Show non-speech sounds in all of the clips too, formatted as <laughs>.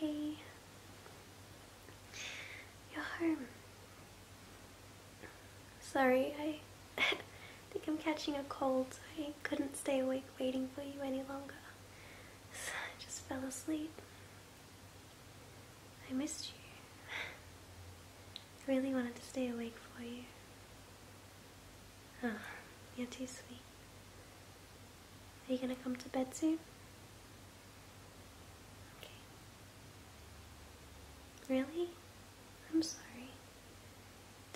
Hey, you're home. Sorry, I <laughs> think I'm catching a cold. I couldn't stay awake waiting for you any longer. I just fell asleep. I missed you. I really wanted to stay awake for you. Oh, you're too sweet. Are you gonna come to bed soon? Really? I'm sorry.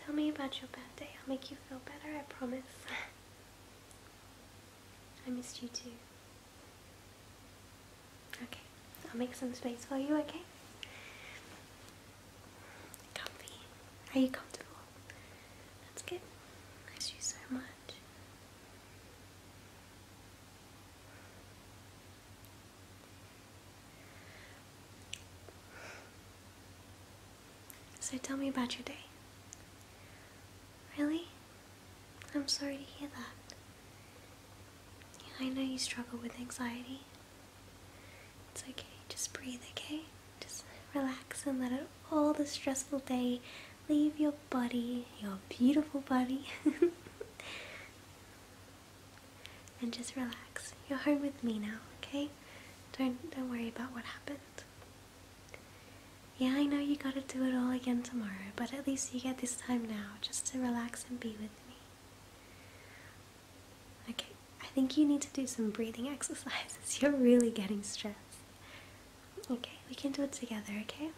Tell me about your bad day. I'll make you feel better, I promise. <laughs> I missed you too. Okay, I'll make some space for you, okay? Comfy. Are you comfortable? That's good. I miss you so much. So tell me about your day. Really? I'm sorry to hear that. I know you struggle with anxiety. It's okay, just breathe, okay? Just relax and let it, all the stressful day leave your body, your beautiful body. <laughs> and just relax. You're home with me now, okay? Don't don't worry about what happened. Yeah, I know you gotta do it all again tomorrow, but at least you get this time now just to relax and be with me. Okay, I think you need to do some breathing <laughs> exercises. You're really getting stressed. Okay, we can do it together, okay?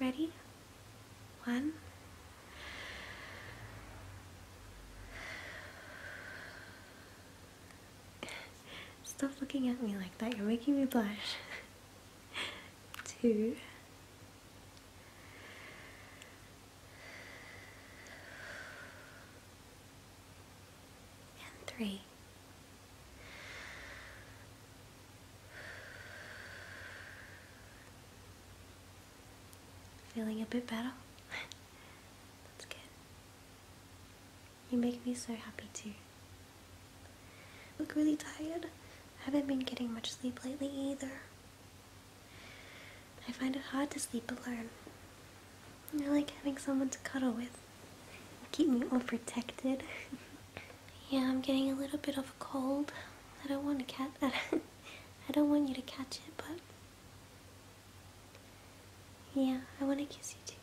Ready? One. Stop looking at me like that, you're making me blush. <laughs> Two. And three. Feeling a bit better? That's good. You make me so happy too. look really tired. I haven't been getting much sleep lately either. I find it hard to sleep alone. I like having someone to cuddle with. Keep me all protected. yeah, I'm getting a little bit of a cold. I don't want to catch. <laughs> I don't want you to catch it, but yeah, I want to kiss you too.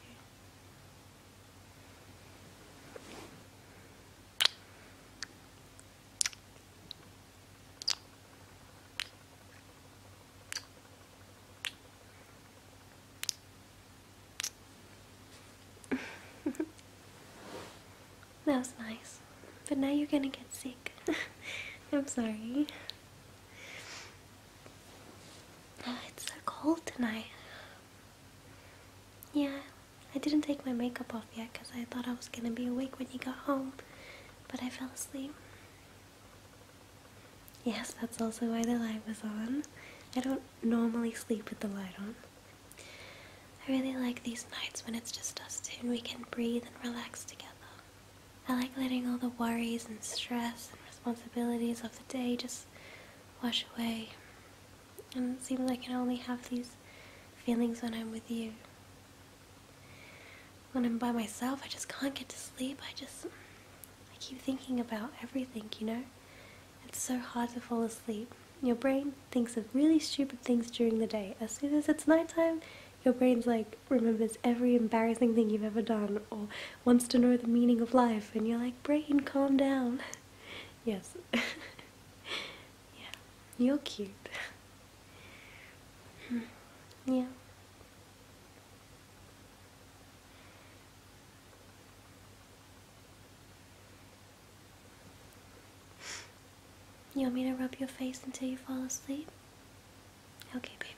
<laughs> that was nice. But now you're gonna get sick. <laughs> I'm sorry. Uh, it's so cold tonight. Yeah, I didn't take my makeup off yet because I thought I was gonna be awake when you got home, but I fell asleep. Yes, that's also why the light was on. I don't normally sleep with the light on. I really like these nights when it's just us two and we can breathe and relax together. I like letting all the worries and stress and responsibilities of the day just wash away. And it seems I can only have these feelings when I'm with you. When I'm by myself, I just can't get to sleep. I just I keep thinking about everything, you know? It's so hard to fall asleep. Your brain thinks of really stupid things during the day. As soon as it's nighttime, your brain's like remembers every embarrassing thing you've ever done or wants to know the meaning of life and you're like, brain, calm down. <laughs> yes. <laughs> yeah. You're cute. <laughs> Hmm. yeah. You want me to rub your face until you fall asleep? Okay, baby.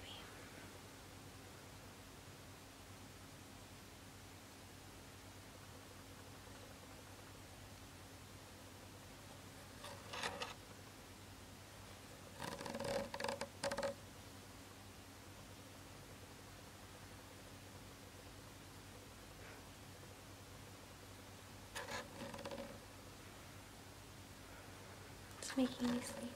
It's making me sleepy.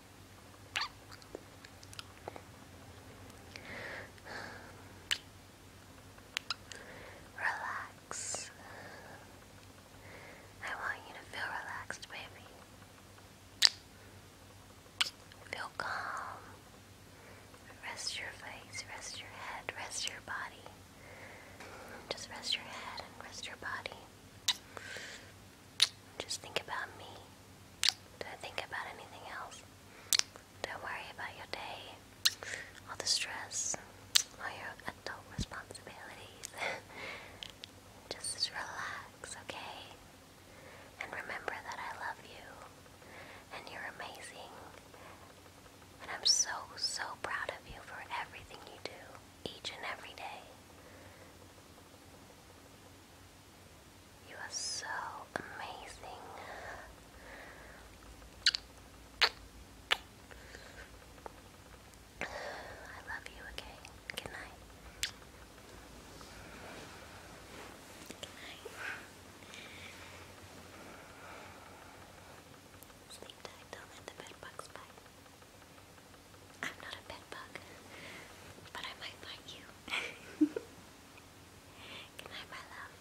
Relax. I want you to feel relaxed, baby. Feel calm. Rest your face, rest your head, rest your body. Just rest your head and rest your body. Just think about me. Don't think about anything else. Don't worry about your day, all the stress, or your adult responsibilities. <laughs> Just relax, okay? And remember that I love you, and you're amazing. And I'm so, so proud of you for everything you do each and every day. You are so amazing. I love you, okay? Good night. Good night. Sleep tight, don't let the bed bugs bite. I'm not a pet but I might bite you. <laughs> Good my love.